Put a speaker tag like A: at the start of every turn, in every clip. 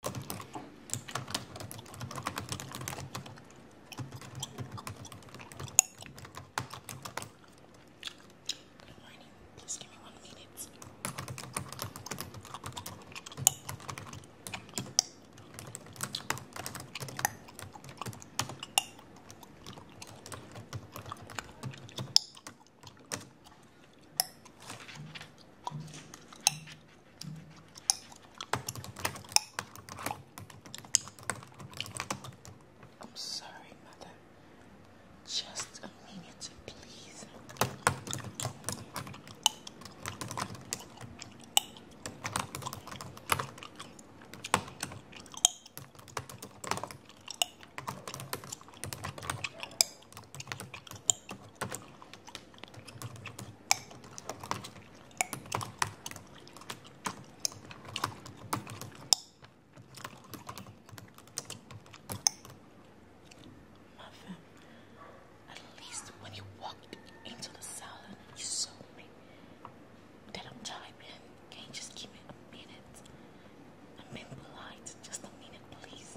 A: Good morning. Please give me one minute. I'm sorry, mother. Just a minute, please. Muffin, at least when you walked into the salon, you saw me. That I'm typing. Can just give me a minute? a minute, please.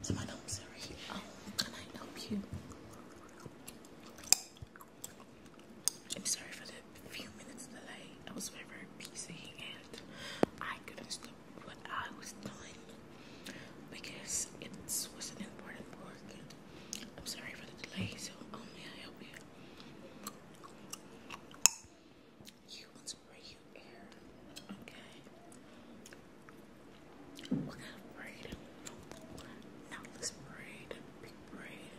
A: So my nose are oh, can I help you? I'm sorry for the few minutes delay. I was very, very busy and I couldn't stop what I was doing because it was an important book. I'm sorry for the delay, so oh may I help you? You want to braid your hair? Okay. What kind of braid? braid, big braid.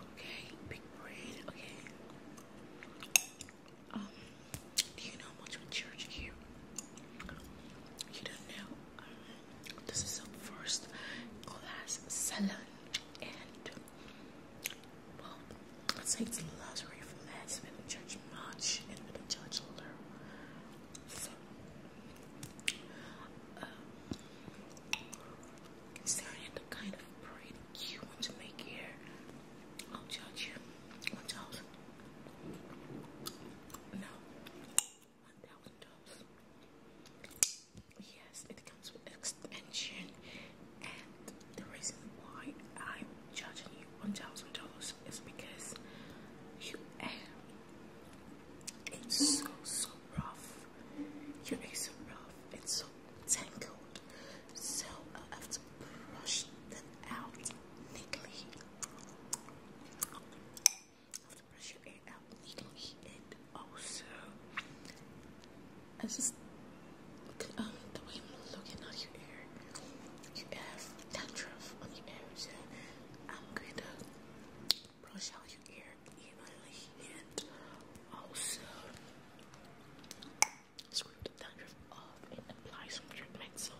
A: Okay, big braid. Okay. Um, do you know much of church here? You don't know. this is a first class salon, and well, I'd say it's luxury for less. We don't much, and we don't judge a So, um, considering the kind of braid you want to make here, I'll judge you. I'll no. one thousand dollars. Yes, it comes with extension, and the reason why I'm charging you one thousand dollars is because you air it's so so rough. Your hair is so rough. It's so tangled. So i have to brush them out neatly have to brush your hair out and also I um, the way I'm looking at your hair. You have dandruff on your hair, so I'm going to brush out your hair evenly and also scrape the dandruff off and apply some treatment. So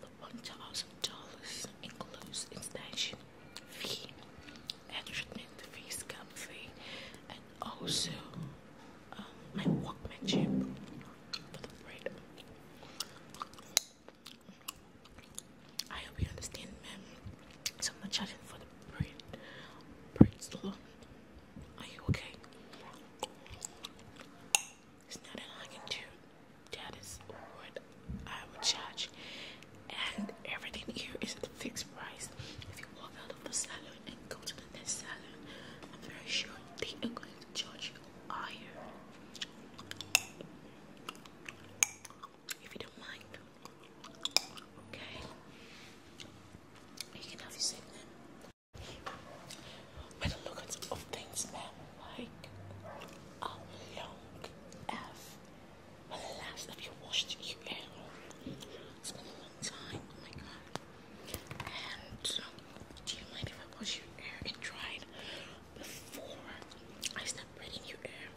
A: the one thousand dollars includes installation fee and fee, scalp fee, and also um, my workmanship for the bread. I hope you understand, ma'am. So I'm for the bread. Bread's Are you okay? There's nothing I can do. That is what I would charge. And everything here is at a fixed price. If you walk out of the salon and go to the next salon, I'm very sure they are going to charge you higher. If you don't mind. Okay. You can have your segment. By the look of things, ma'am, like how long have when the last have you washed your hair? It's been a long time, oh my god. And um, do you mind if I wash your hair and dry it before I stop braiding your hair?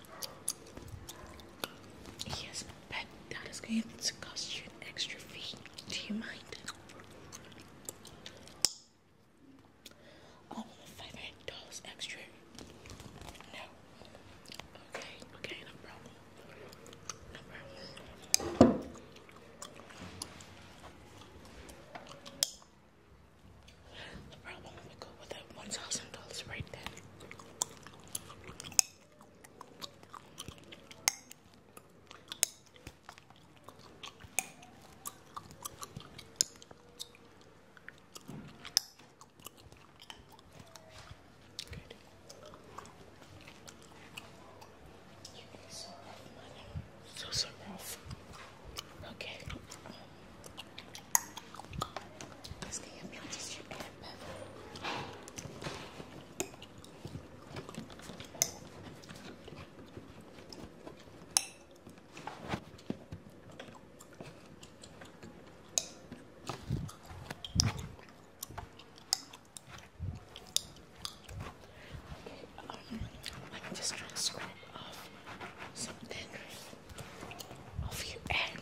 A: Yes, but that is going to cost you an extra fee. Do you mind? All of the five hundred dollars extra. No. Okay, okay, No problem. No problem. We go with that one thousand dollars right then. Good. You are so rough, mother. So, so rough. Okay. Let's get your blood distributed, Bev um, I'm just trying to scrape off something of you and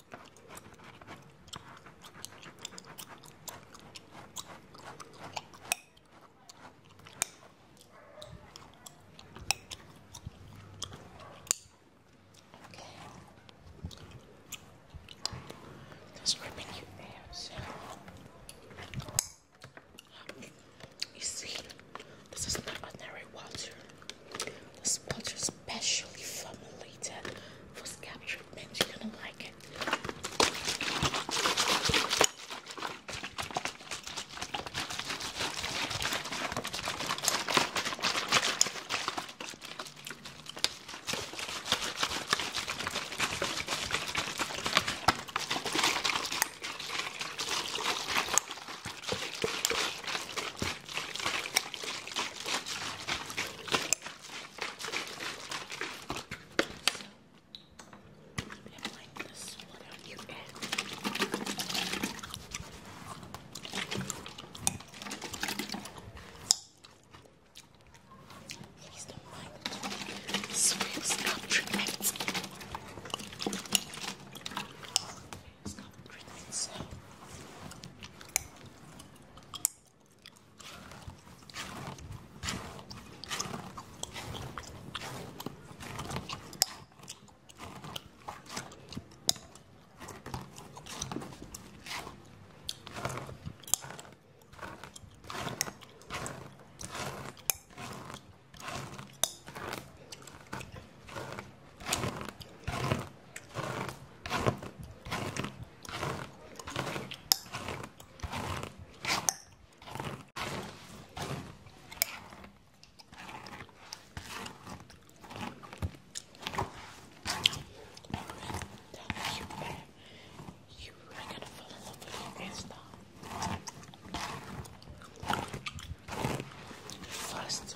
A: Okay. That's ripping your abs. You see, this is not ordinary water. This butter is specially formulated for scalp treatment. You're gonna like it. I'm like this one on you Please don't mind. Swift scalp treatment. It's got crickets you better, you really gotta fall in love with your Insta. First,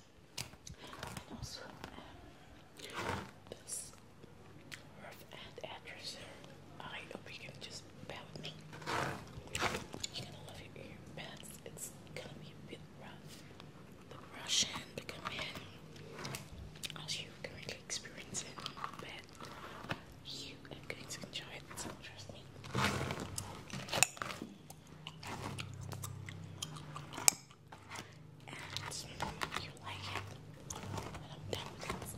A: also, this rough and address. I hope you can just bear with me. You're gonna love your ear It's gonna be a bit rough. The Russian to come in as you currently experience but you are going to enjoy it, trust me and you like it. And I'm done with this.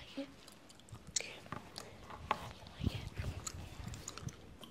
A: Okay. You like it? Okay. You like it?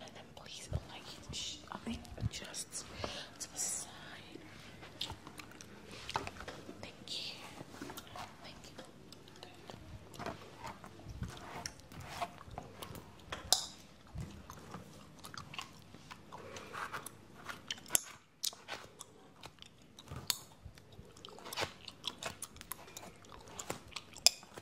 A: And then please like adjust to the side. Thank you. Thank you.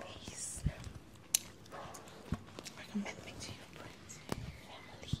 A: Please recommend me to your friends and your family.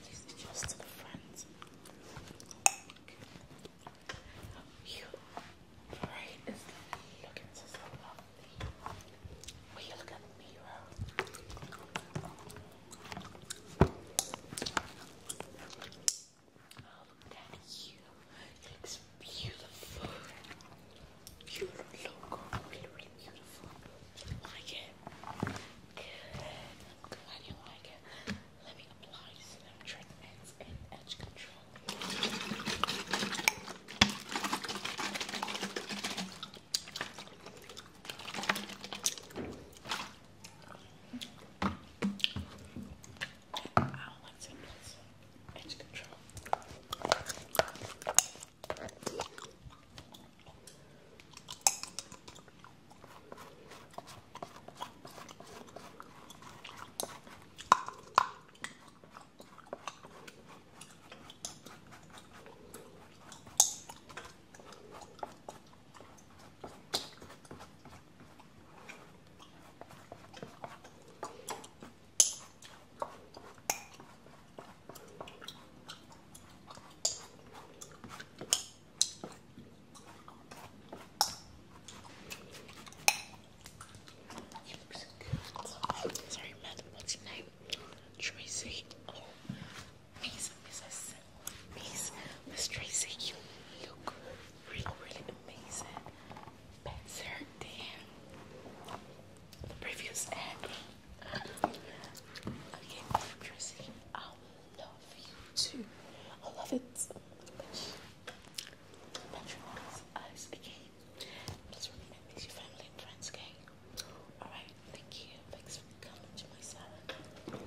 A: This just to You braid is looking so Will you look at the mirror? Oh, look at you. It looks beautiful. Beautiful logo. Really, really beautiful. You like it? Good. I'm glad you like it. Let me apply this little trick ends and edge control. I don't like symbols. Edge control. Sorry, Matt, what's your name? Tracy. Oh, Misa, amazing. Miss, Miss Tracy, you look really, amazing. Better than the previous ad. Okay, Tracy, I love you too. I love it. Patronize us again. Please your family and friends, okay? Alright, thank you. Thanks for coming to my salon.